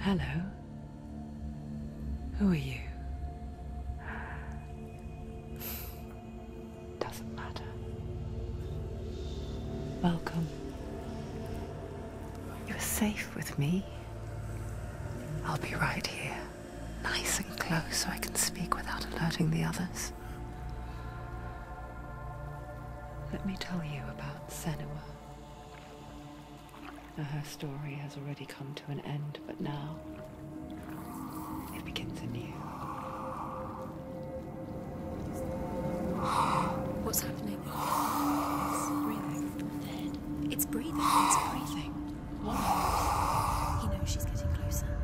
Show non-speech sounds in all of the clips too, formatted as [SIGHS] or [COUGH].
Hello. Who are you? [SIGHS] Doesn't matter. Welcome. You're safe with me. I'll be right here, nice and close so I can speak without alerting the others. Let me tell you about Senua. her story has already come to an end, but now it begins anew. What's happening? It's breathing. It's breathing. It's breathing. What? He knows she's getting closer.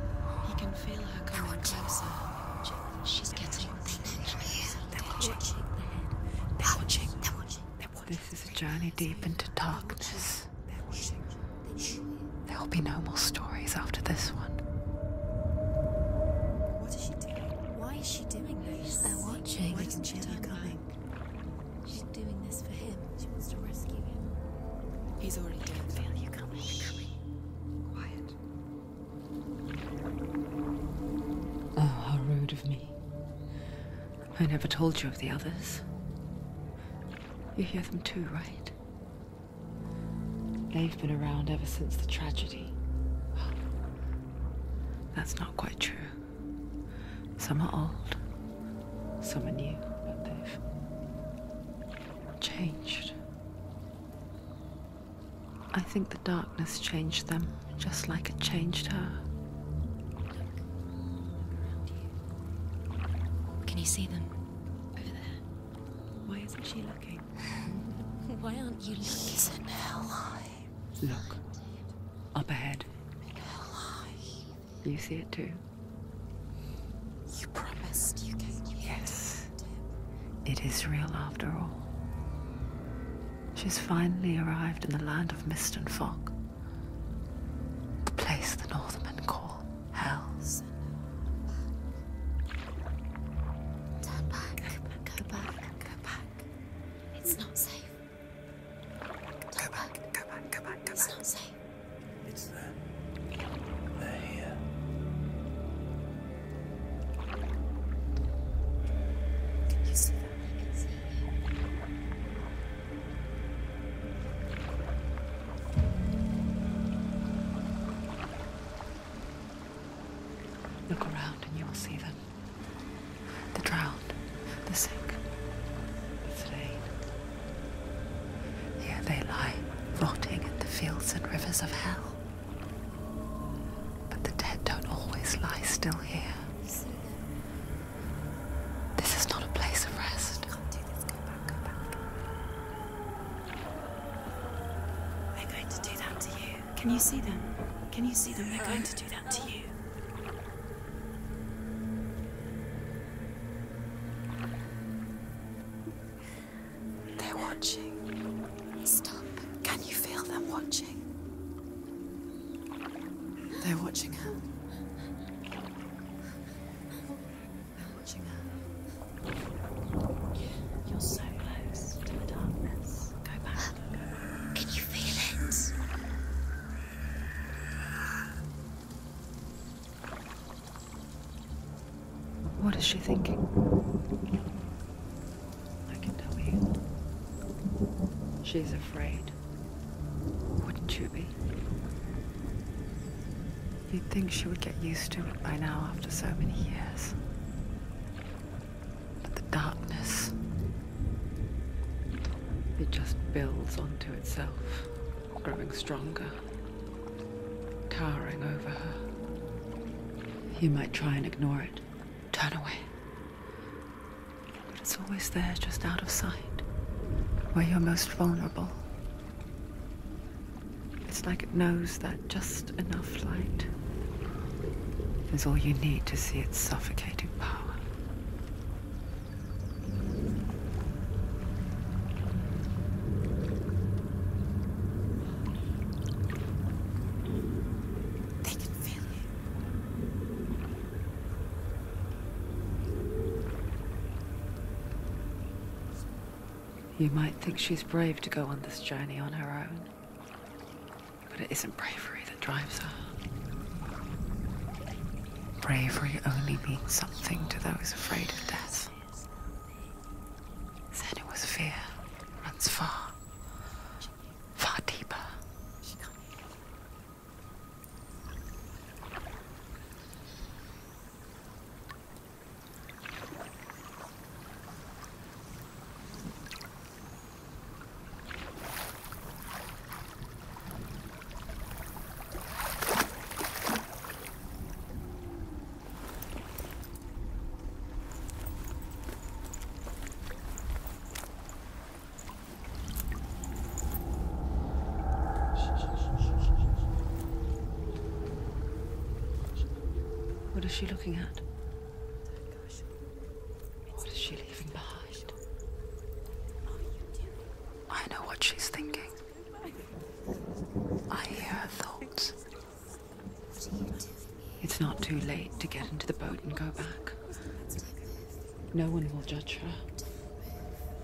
He can feel her coming closer. She's getting closer. This is a journey deep into darkness. There will be no more stories after this one. What is she doing? Why is she? is watching. Why didn't she coming? She's doing this for him. She wants to rescue him. He's already dead. I feel you coming. coming. Quiet. Oh, how rude of me. I never told you of the others. You hear them too, right? They've been around ever since the tragedy. That's not quite true. Some are old, some are new, but they've changed. I think the darkness changed them just like it changed her. Can you see them over there? Why isn't she looking? Why aren't you looking? He's in Look. Up ahead. In Helheim. You see it too? You promised you gave me Yes. It is real after all. She's finally arrived in the land of mist and fog. The place the Northmen call Hells. Turn back. Go back. Go back. It's not safe. go back. Go back. Go back. Go back. It's not safe. It's there. they Can you see that? I can see you. Look around and you will see them the drowned, the sick, the slain. Here they lie, rotting in the fields and rivers of hell. But the dead don't always lie still here. This is not a place of rest. Can't do this. Go back, go back. They're going to do that to you. Can you see them? Can you see them? They're going to do that to you. They're watching. Stop. Can you feel them watching? They're watching her. They're watching her. You're so close to the darkness. Go back. Can you feel it? What is she thinking? I can tell you. She's afraid. Wouldn't you be? You'd think she would get used to it by now after so many years. But the darkness, it just builds onto itself, growing stronger, towering over her. You might try and ignore it, turn away. But it's always there, just out of sight, where you're most vulnerable. It's like it knows that just enough light is all you need to see its suffocating power. You might think she's brave to go on this journey on her own. But it isn't bravery that drives her. Bravery only means something to those afraid of death. Then it was fear runs far, far deeper. What is she looking at? What is she leaving behind? I know what she's thinking. I hear her thoughts. It's not too late to get into the boat and go back. No one will judge her.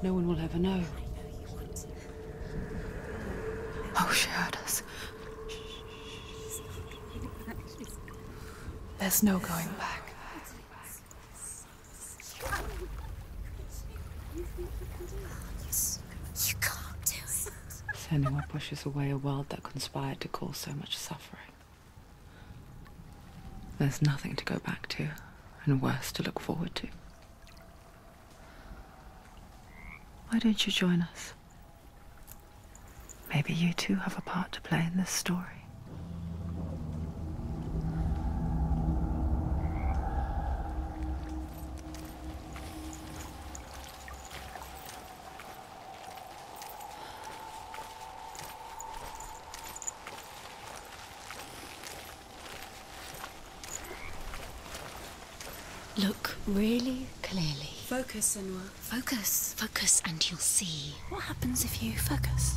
No one will ever know. Oh, she heard us. There's no going back. You can't do it. Senua pushes away a world that conspired to cause so much suffering. There's nothing to go back to, and worse to look forward to. Why don't you join us? Maybe you too have a part to play in this story. Look really clearly. Focus, Anwar. Focus, focus, and you'll see. What happens if you focus?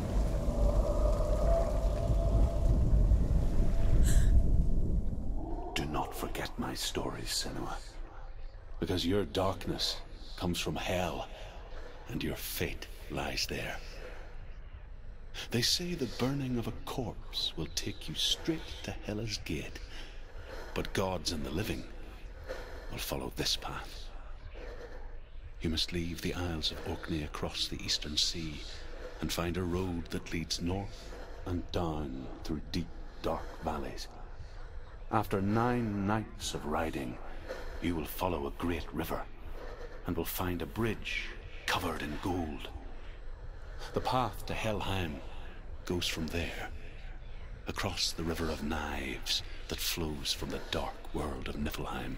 Do not forget my stories, Senua. Because your darkness comes from hell, and your fate lies there. They say the burning of a corpse will take you straight to Hela's gate, but gods and the living will follow this path. You must leave the Isles of Orkney across the Eastern Sea and find a road that leads north and down through deep, dark valleys. After nine nights of riding, you will follow a great river and will find a bridge covered in gold. The path to Helheim goes from there, across the River of Knives that flows from the dark world of Niflheim.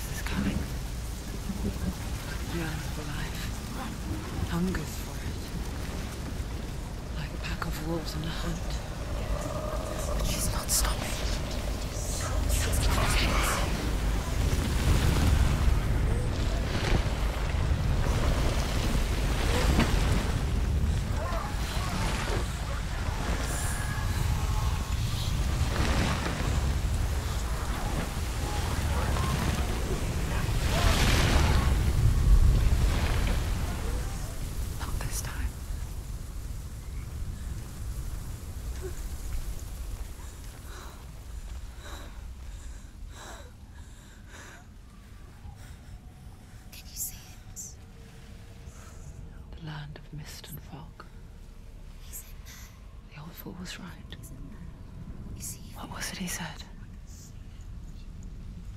this is coming. Yearns for life. Hungers for it. Like a pack of wolves on a hunt. But she's not stopping. Not this time. The land of mist and fog. The old fool was right. What was it he said?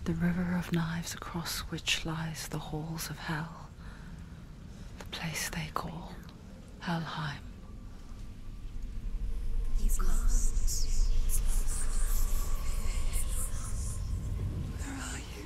The river of knives across which lies the halls of hell. The place they call Helheim. He's lost. Where are you?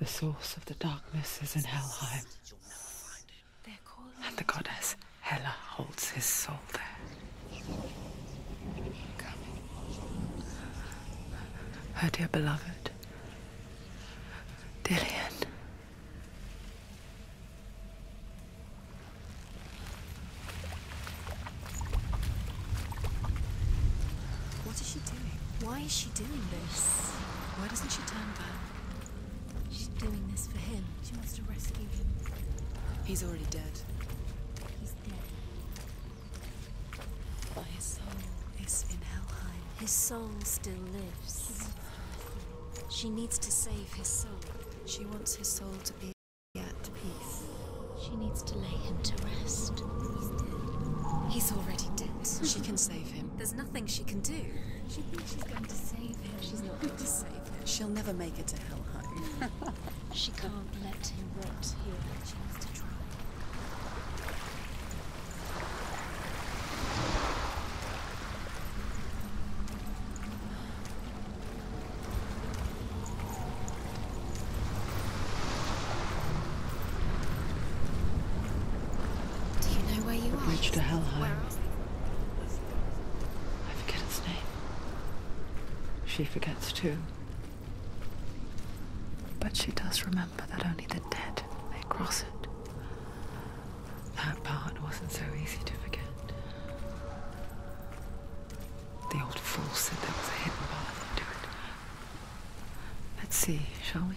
The source of the darkness is in Helheim. And the goddess Hela holds his soul there. Her dear beloved, What is she doing? Why is she? is doing this? Why doesn't she turn back? She's doing this for him. She wants to rescue him. He's already dead. He's dead. his soul is in Helheim. His soul still lives. She needs to save his soul. She wants his soul to be at peace. She needs to lay him to rest. He's dead. He's already dead. she can [LAUGHS] save there's nothing she can do. She thinks she's going to save him. She's not going to save him. She'll never make it to Helheim. [LAUGHS] she can't let him rot here. She has to try. Do you know the are? to Helheim. I forget its name. She forgets too. But she does remember that only the dead may cross it. That part wasn't so easy to forget. The old fool said there was a hidden path into it, Let's see, shall we?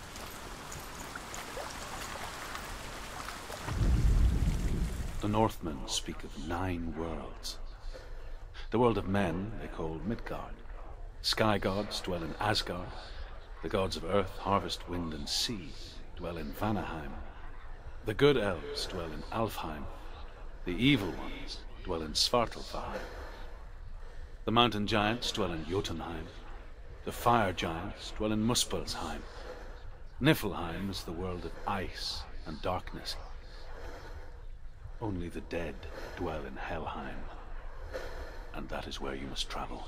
The Northmen speak of nine worlds. The world of men they call Midgard. Sky gods dwell in Asgard. The gods of earth, harvest, wind, and sea dwell in Vanaheim. The good elves dwell in Alfheim. The evil ones dwell in Svartalfheim. The mountain giants dwell in Jotunheim. The fire giants dwell in Muspelheim. Niflheim is the world of ice and darkness. Only the dead dwell in Helheim. And that is where you must travel.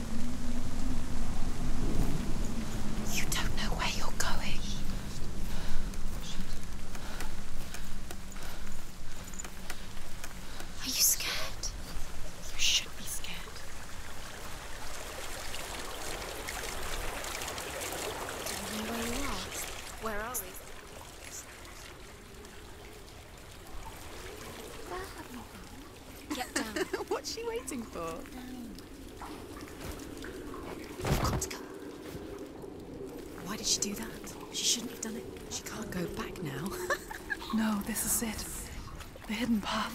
You don't know where you're going. Are you scared? You should be scared. Don't know where you are. Where are we? [LAUGHS] What's she waiting for? got to come. Why did she do that? She shouldn't have done it. She can't go back now. [LAUGHS] no, this is it. The hidden path.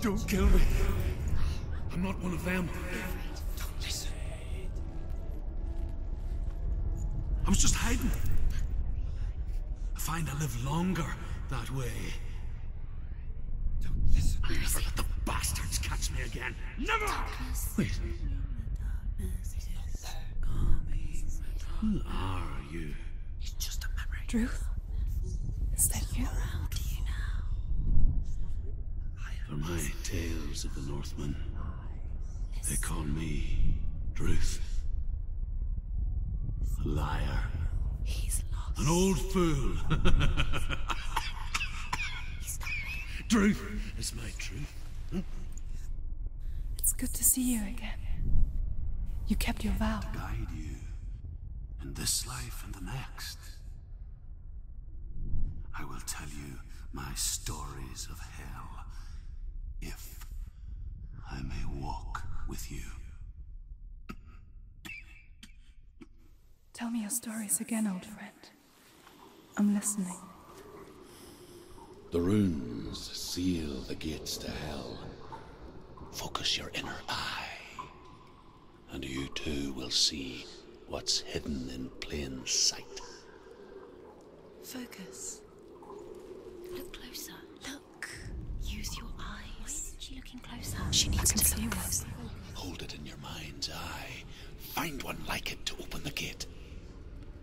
Don't kill me. I'm not one of them. Don't listen. I was just hiding. I find I live longer that way. Don't listen. I never let the bastards catch me again. Never! Who are you? It's just a memory. Truth? Is that you? now. For my tales of the Northmen, they call me Druth. A liar. An old fool. [LAUGHS] Druth it's good to see you again. You kept your vow. To guide you in this life and the next. I will tell you my stories of hell if I may walk with you. Tell me your stories again, old friend. I'm listening. The runes seal the gates to hell. Focus your inner eye, and you too will see what's hidden in plain sight. Focus. Look closer. Look. Use your eyes. Wait, looking closer. She needs to see Hold it in your mind's eye. Find one like it to open the gate.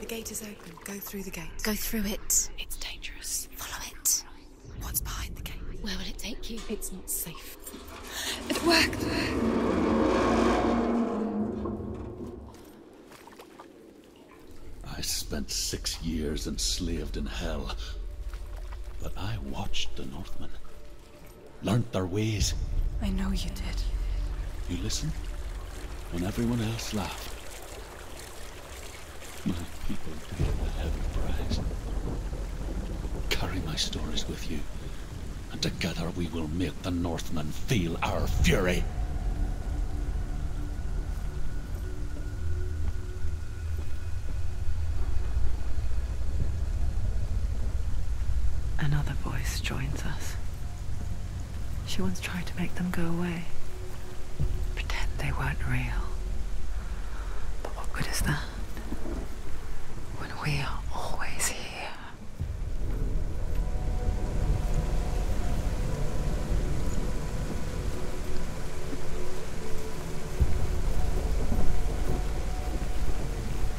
The gate is open. Go through the gate. Go through it. It's dangerous. Follow it. What's behind the gate? Where will it take you? It's not safe. It worked! I spent six years enslaved in hell. But I watched the Northmen. Learned their ways. I know you did. You listen. When everyone else laughed. My people paid the heavy price. Carry my stories with you, and together we will make the Northmen feel our fury. Another voice joins us. She once tried to make them go away. Pretend they weren't real. But what good is that? When we are always here.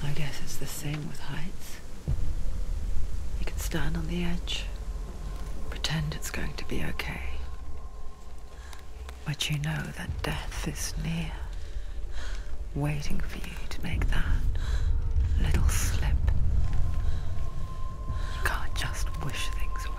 I guess it's the same with heights. You can stand on the edge, pretend it's going to be okay. But you know that death is near, waiting for you to make that little slip. You can't just wish things away.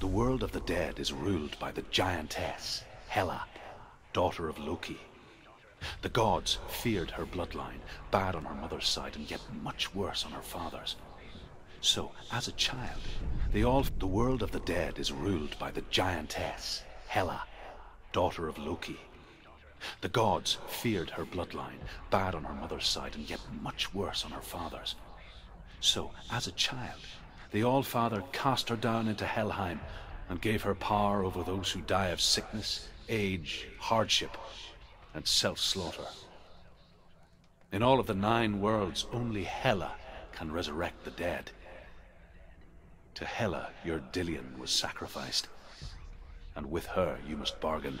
The world of the dead is ruled by the giantess, Hela, daughter of Loki. The gods feared her bloodline, bad on her mother's side and yet much worse on her father's. So, as a child, the world of the dead is ruled by the giantess, Hela, daughter of Loki. The gods feared her bloodline, bad on her mother's side and yet much worse on her father's. So, as a child, the All-Father cast her down into Helheim and gave her power over those who die of sickness, age, hardship, and self-slaughter. In all of the nine worlds, only Hela can resurrect the dead. To Hela, your Dillian was sacrificed, and with her you must bargain.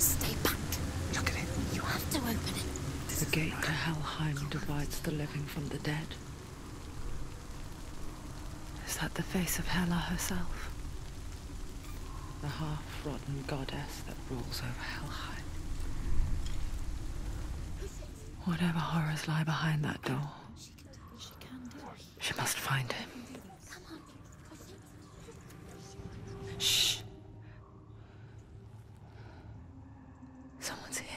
Stay back. Look at it. You have to open it. The gate to hellheim divides the living from the dead. Is that the face of Hela herself? The half-rotten goddess that rules over Helheim. Whatever horrors lie behind that door, she must find him. Shh. Someone's here.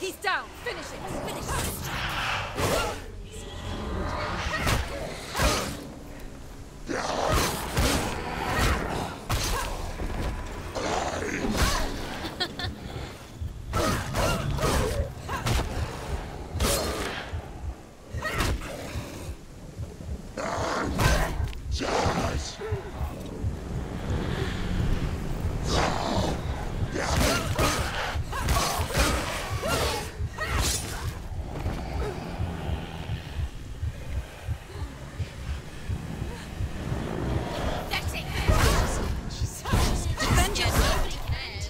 He's down. Finish it. Finish it. [LAUGHS] That's it. Vengeance. Vengeance.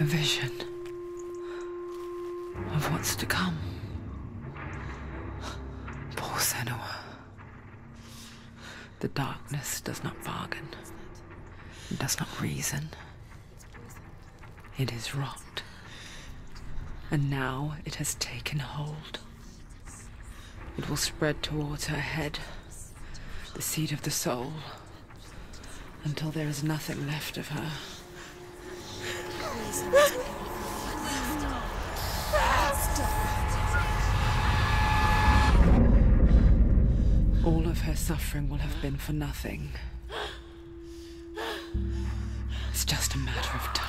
A vision of what's to come. Poor Senua. The darkness does not bargain. It does not reason. It is rot. And now it has taken hold. It will spread towards her head, the seed of the soul, until there is nothing left of her. All of her suffering will have been for nothing. It's just a matter of time.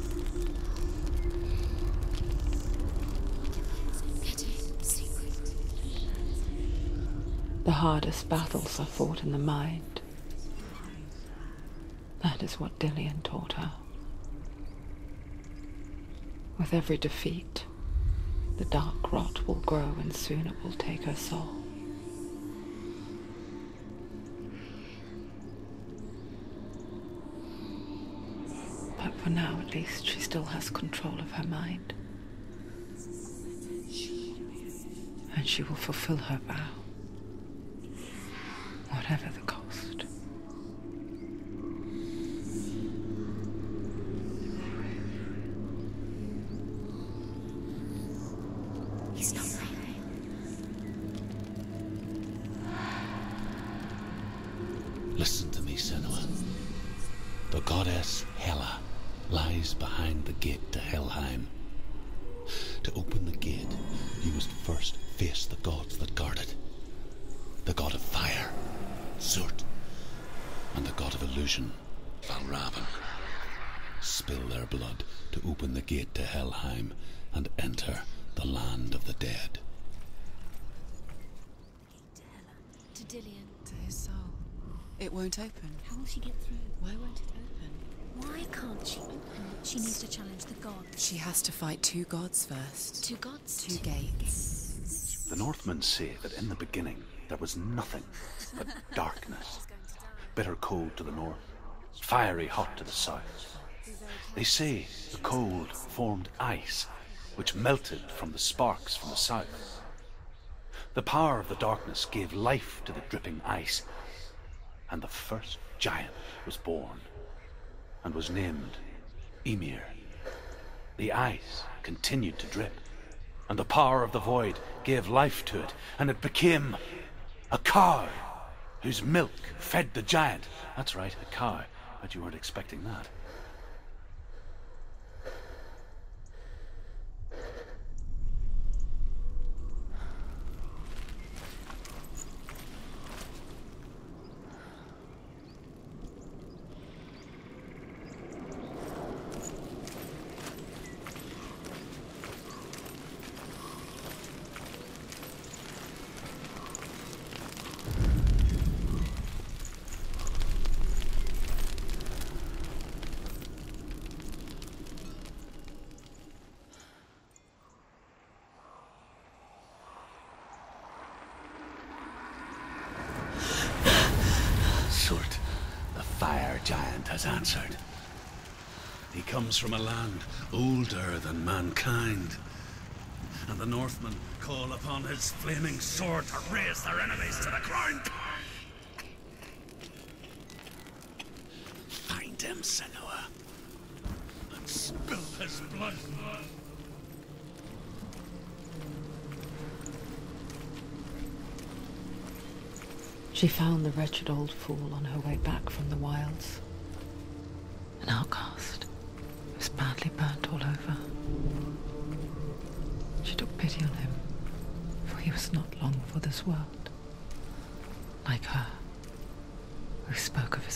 The hardest battles are fought in the mind. That is what Dillian taught her. With every defeat, the dark rot will grow and soon it will take her soul. But for now, at least, she still has control of her mind. And she will fulfill her vow, whatever the cost. He's not right. Listen to me, Senua. The goddess Hela lies behind the gate to Helheim. To open the gate, you must first face the gods that guard it. The god of fire, Surt, and the god of illusion, Valravan. Spill their blood to open the gate to Helheim and enter the land of the dead. To Dillian. To his soul. It won't open. How will she get through? Why won't it open? Why can't she open She needs to challenge the gods. She has to fight two gods first. Two gods? Two, gates. The Northmen say that in the beginning there was nothing but [LAUGHS] darkness. Bitter cold to the north, fiery hot to the south. They say the cold formed ice, which melted from the sparks from the south. The power of the darkness gave life to the dripping ice, and the first giant was born, and was named Emir. The ice continued to drip, and the power of the void gave life to it, and it became a cow, whose milk fed the giant. That's right, a cow. But you weren't expecting that the fire giant has answered. He comes from a land older than mankind, and the Northmen call upon his flaming sword to raise their enemies to the ground. Find him, Senua, and spill his blood. She found the wretched old fool on her way back from the wilds an outcast was badly burnt all over. She took pity on him, for he was not long for this world. Like her, who spoke of his